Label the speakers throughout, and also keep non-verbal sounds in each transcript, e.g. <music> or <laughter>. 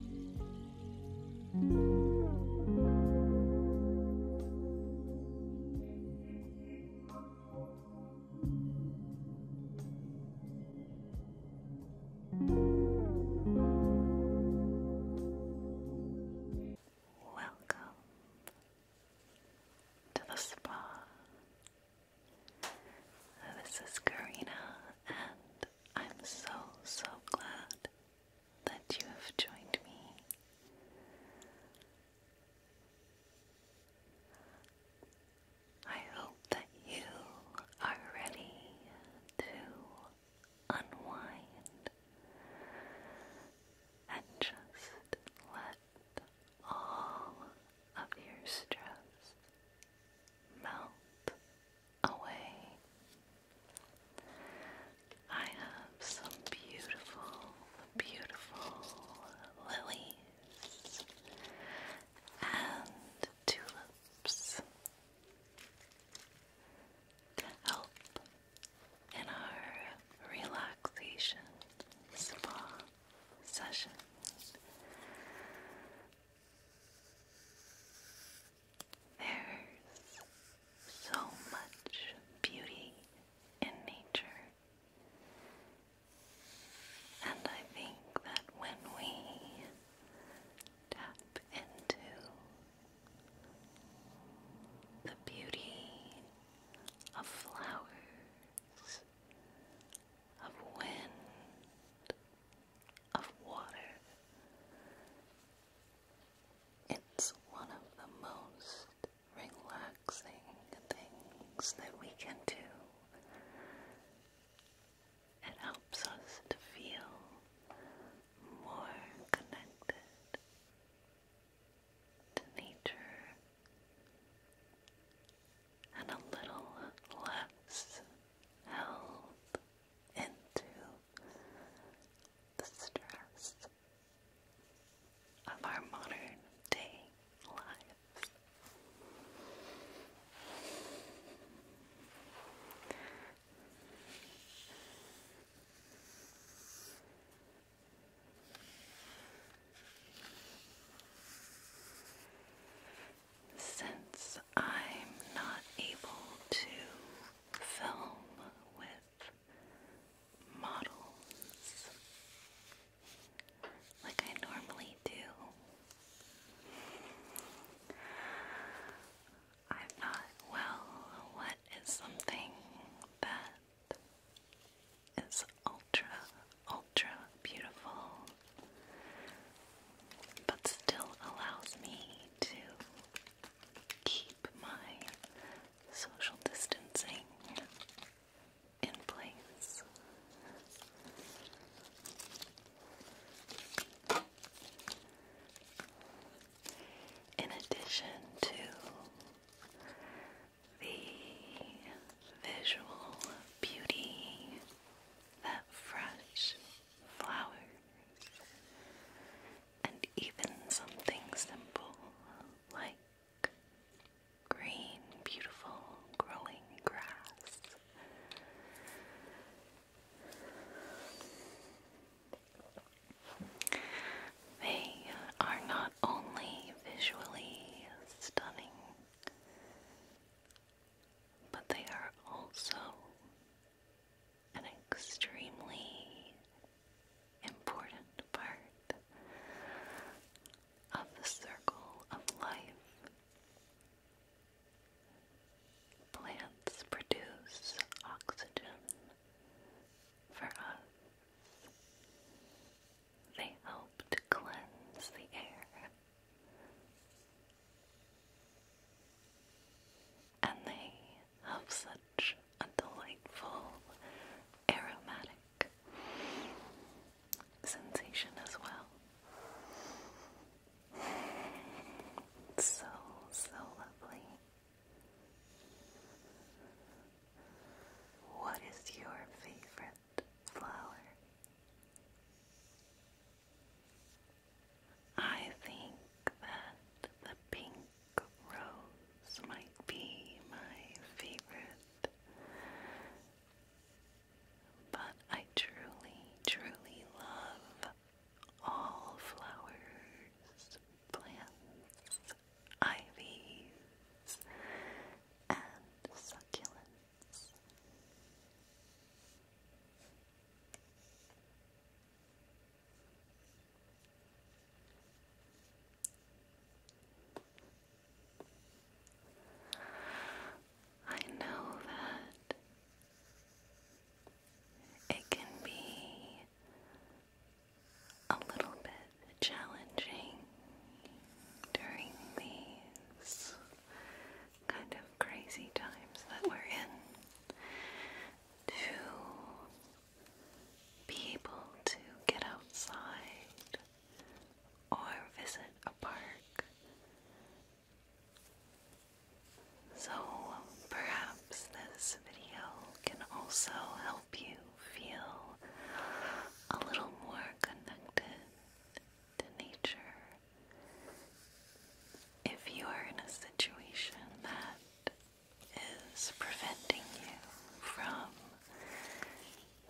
Speaker 1: Welcome to the spa. This is Karina and I'm so, so glad that you have joined me. I hope that you are ready to unwind and just let all of your stress melt away. I have some beautiful, beautiful lilies and tulips help in our relaxation spa session. There's so much beauty in nature. And I think that when we tap into the beauty of flowers, of wind, of water. It's one of the most relaxing things that we can do. It helps us to feel more connected to nature and a little less held into the stress of our modern day lives since I'm not able to film with models like I normally do, I thought, well, what is something that is ultra, ultra beautiful but still allows me to keep my social distancing in place. In addition to the visual beauty that fresh flowers and even something simple like green, beautiful growing grass. They are not only visually stunning, but they are also an extremely important part of the circle of life. Plants produce oxygen for us. They help to cleanse the air and they have such a delightful, aromatic sensation as well. so, so lovely. What is your favorite flower? I think that the pink rose might be my favorite, but I truly, truly love all flowers, plants, ivies, and succulents. I know that it can be a little bit challenging during these kind of crazy times that we're in to be able to get outside or visit a park. So perhaps this video can also help you feel a little more connected to nature. If you are in a situation that is preventing you from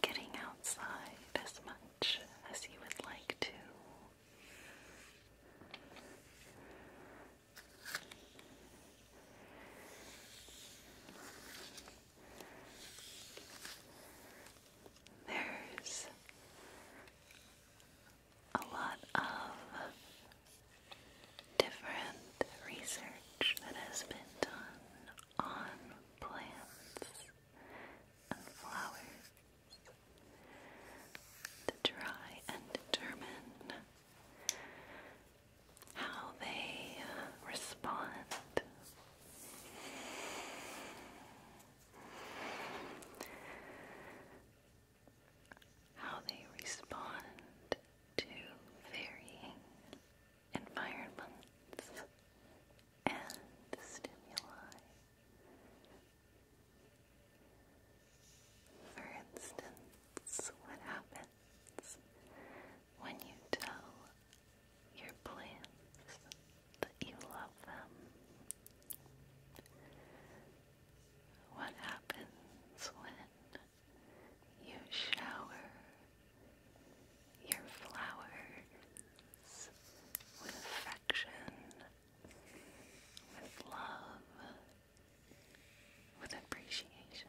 Speaker 1: getting outside as much as you would like to, there's a lot of different research that has been done on plants and flowers to try and determine how they respond how they respond to varying environments and stimuli. For instance, what happens when you tell your plants, that you love them. What happens when you shower your flowers with affection, with love, with appreciation?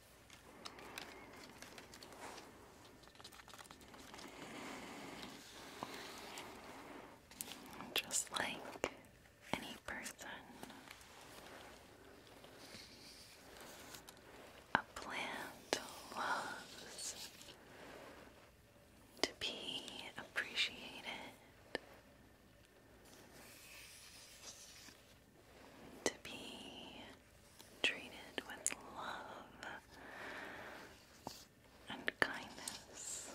Speaker 1: Just like any person, a plant loves to be appreciated to be treated with love and kindness.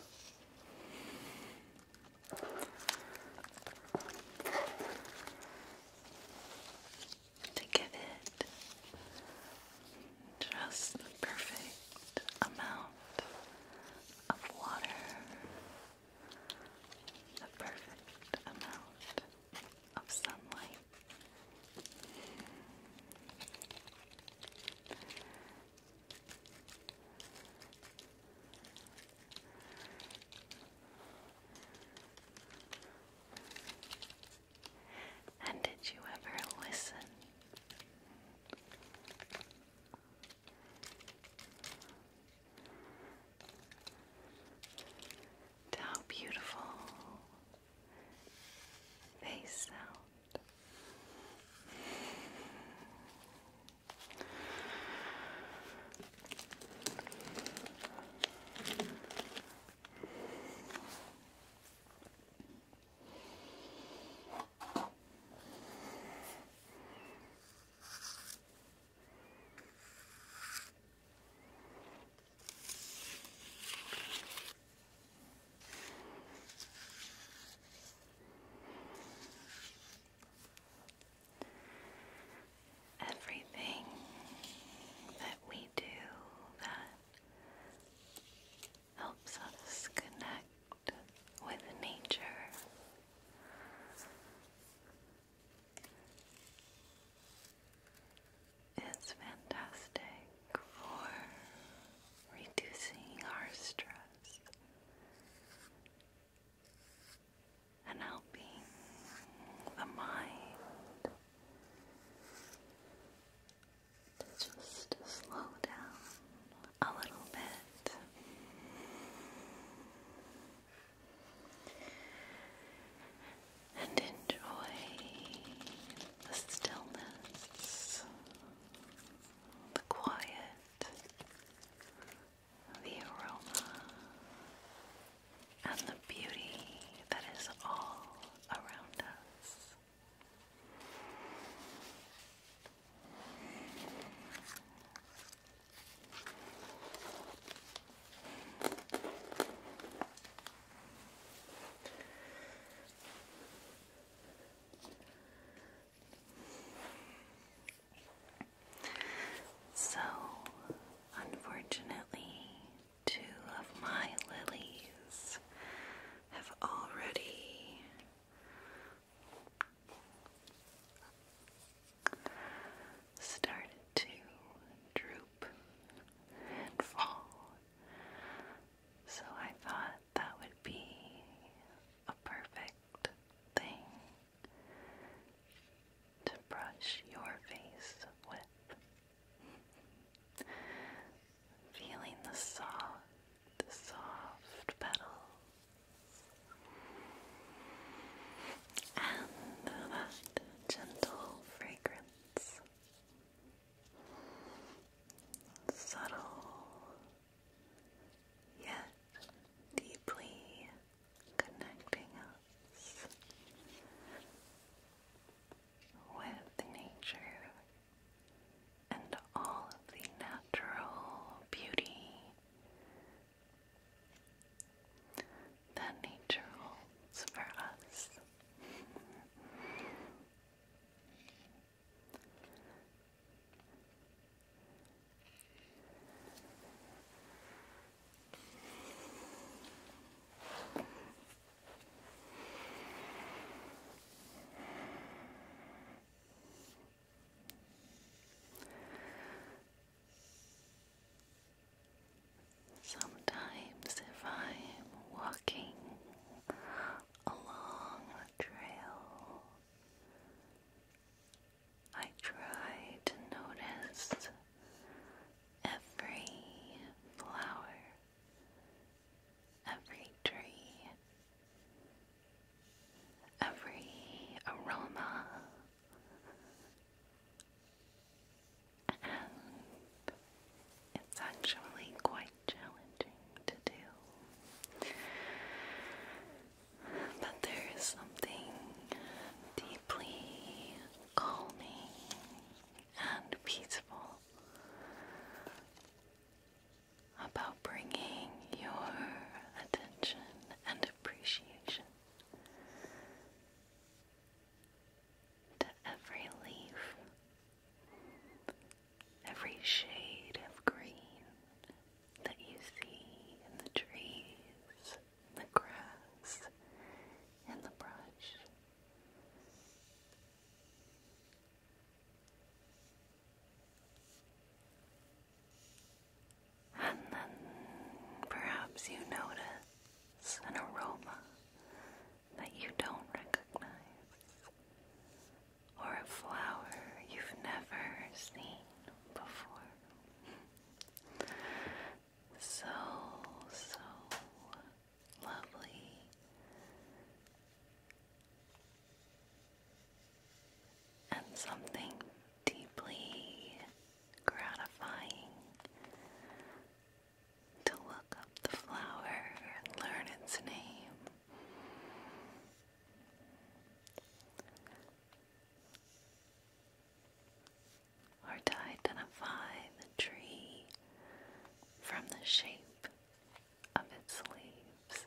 Speaker 1: To give it just the perfect amount of water the perfect amount of sunlight. And did you ever listen? how beautiful they sound. Everything that we do that helps us connect with nature it's fantastic for reducing our stress and helping the mind to just slow down a little bit and enjoy the stillness, the quiet, the aroma, and the beauty that is all around us. So, unfortunately, two of my lilies have already started to droop and fall. So I thought that would be a perfect thing to brush your face with. Feeling the soft, soft petals and that gentle fragrance, subtle yet deeply connecting us with nature and all of the natural beauty that nature holds for us. Sometimes, if I'm walking along a trail, I try to notice every flower, every tree, every aroma it's actually quite challenging to do but there is something deeply calming and peaceful about bringing your attention and appreciation to every leaf, every shade of green that you see in the trees, the grass, and the brush. And then perhaps you notice an aroma that you don't recognize, or a flower you've never seen before. so, so lovely and something deeply gratifying to look up the flower and learn its name. Or to identify the tree from the shape of its leaves.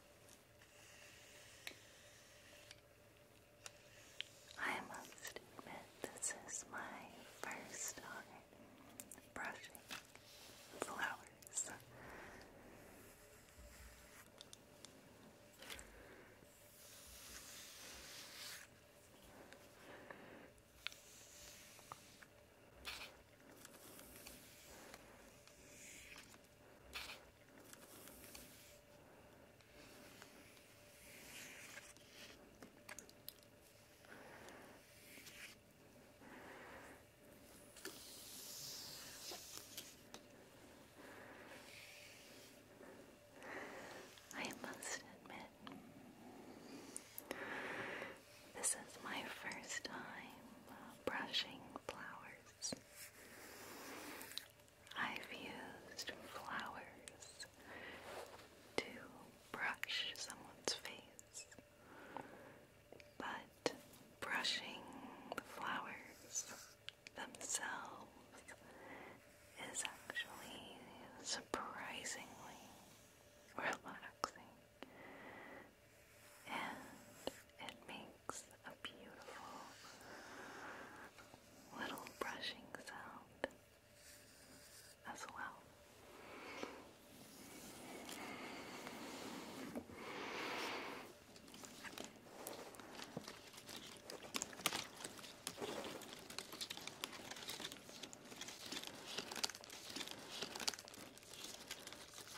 Speaker 1: I must admit, this is my first time brushing flowers. I must admit, this is my first time uh, brushing flowers. I've used flowers to brush someone's face, but brushing the flowers themselves is actually surprisingly <laughs> relaxing and it makes a beautiful little brushing sound as well.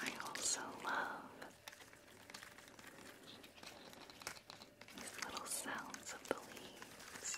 Speaker 1: I also love these little sounds of the leaves.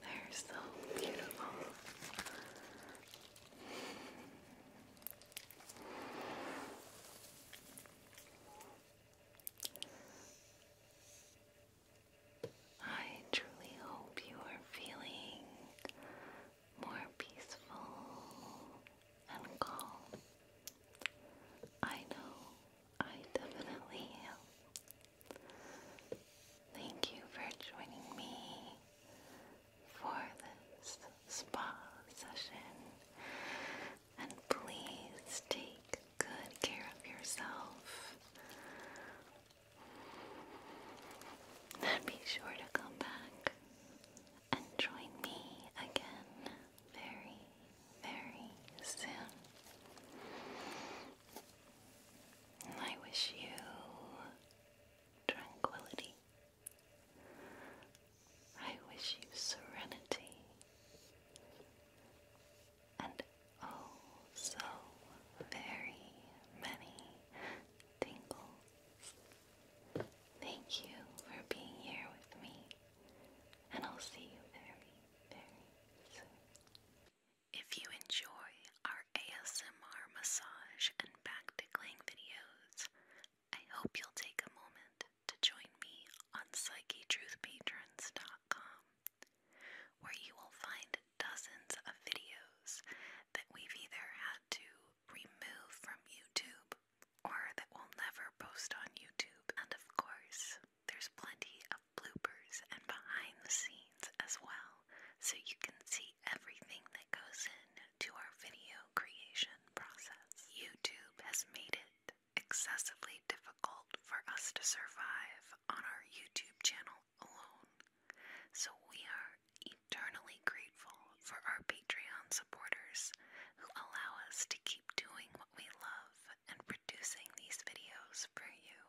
Speaker 1: They're so beautiful. I truly hope you are feeling more peaceful and calm. I know I definitely am. Thank you for joining me for this spa session. And please take good care of yourself. And be sure to come back and join me again very, very soon. I wish you tranquility I wish you serenity and oh so very many tingles. Thank you for being here with me, and I'll see you very, very soon. If you enjoy our ASMR massage and back tickling videos, I hope you'll take a moment to join me on PsycheTruthPatrons.com, where you will find dozens of videos that we've either had to remove from YouTube or that we'll never post on YouTube. And of course, there's plenty of bloopers and behind the scenes as well, so you can see everything that goes in to our video creation process. YouTube has made it excessively difficult for us to survive on our YouTube channel alone, so we are eternally grateful for our Patreon supporters who allow us to keep doing what we love and producing these videos for you.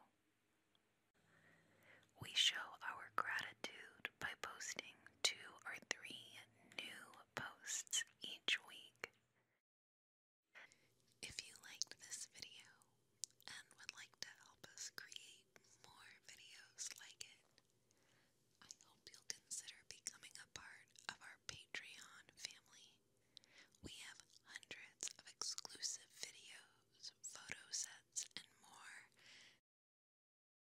Speaker 1: We show our gratitude by posting two or three new posts each week. If you liked this video and would like to help us create more videos like it, I hope you'll consider becoming a part of our Patreon family. We have hundreds of exclusive videos, photo sets, and more